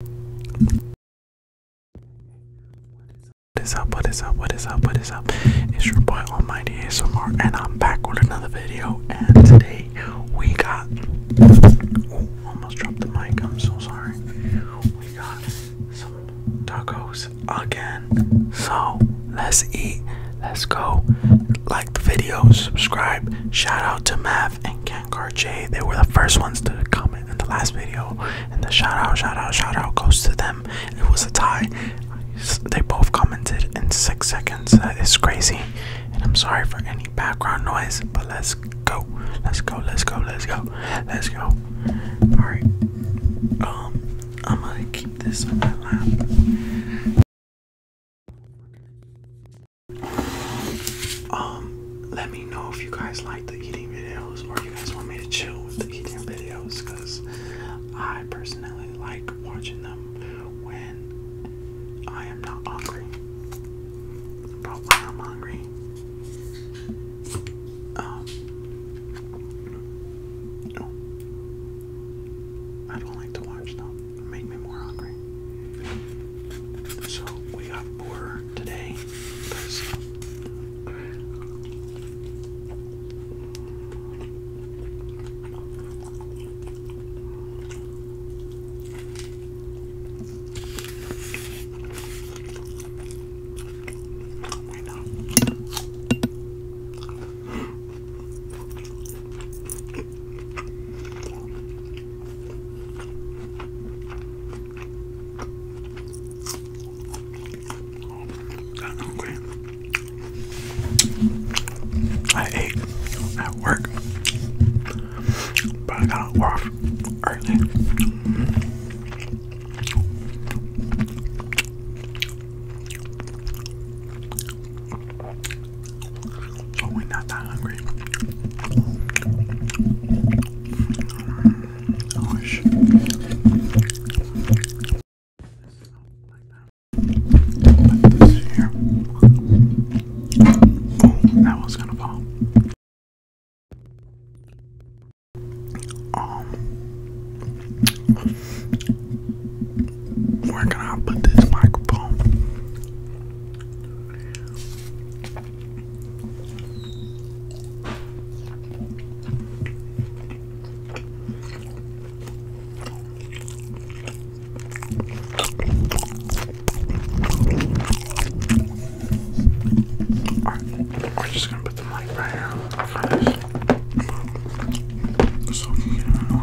What is up? What is up? What is up? What is up? It's your boy Almighty ASMR, and I'm back with another video. And today we got. Oh, almost dropped the mic. I'm so sorry. We got some tacos again. So let's eat. Let's go. Like the video, subscribe. Shout out to Math and Ken Carche. They were the first ones to comment in the last video, and the shout out, shout out, shout out goes to them. It was a tie. They both commented in six seconds. That is crazy. And I'm sorry for any background noise, but let's go. Let's go, let's go, let's go, let's go. Alright. Um, I'm gonna keep this on my lap. Um, let me know if you guys like the eating videos or you guys want me to chill with the eating videos because I personally like watching them when I am not hungry. But I'm hungry, um, no. I don't like to watch them. Make me more hungry. So we got four today. Because Wait, I'm hungry. I ate at work, but I got off early. So oh, we not that hungry. Gosh. Put Oh, that was gonna fall. Um, where can I put this microphone? Right, we're just gonna put the mic right here for this. So you can know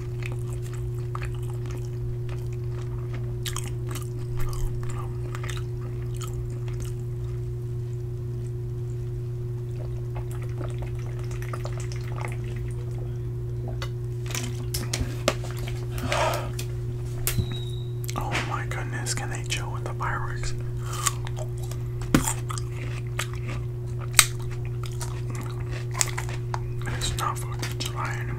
Oh my goodness, can they chill with the fireworks? It's not 4th of July anymore.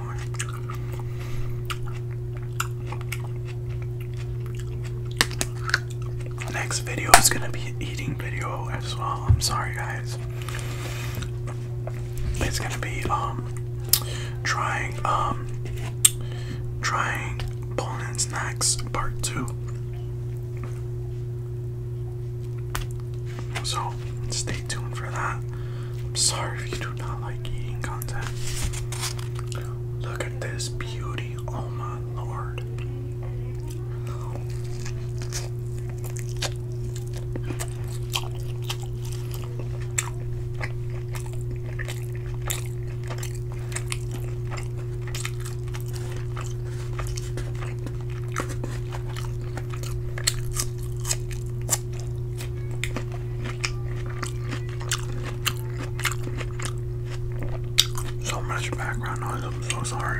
next video is gonna be eating video as well. I'm sorry guys. It's gonna be um trying um trying Poland snacks part two. So stay tuned for that. I'm sorry if you do not like eating content. Look at this beauty, oh my lord. So much background noise, I'm so sorry.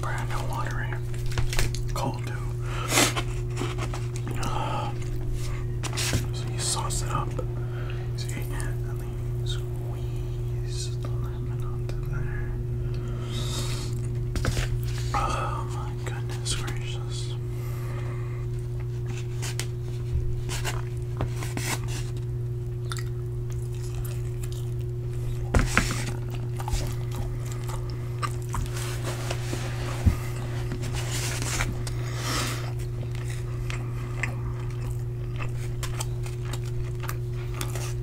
Brand no water in Cold too. so you sauce it up. See, and then squeeze Oh my goodness gracious.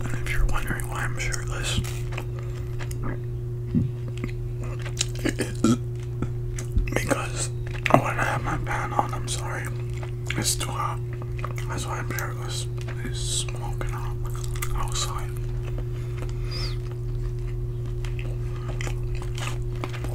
And if you're wondering why I'm shirtless, it is because I want to have my pant on. I'm sorry, it's too hot. That's why I'm shirtless. It's smoking out outside.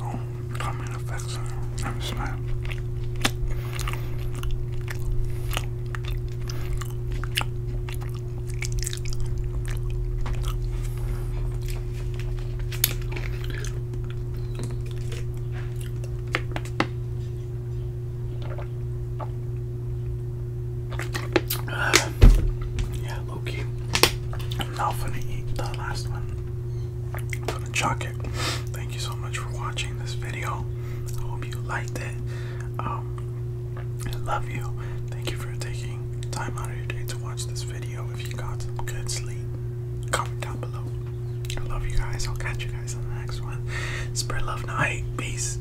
Oh, coming effects. I'm a smart. yeah, Loki. I'm not gonna eat the last one. gonna chuck it. Thank you so much for watching this video. I hope you liked it. Um, I love you. Thank you for taking time out of your day to watch this video. If you got some good sleep, comment down below. I love you guys. I'll catch you guys in the next one. Spread love night. Peace.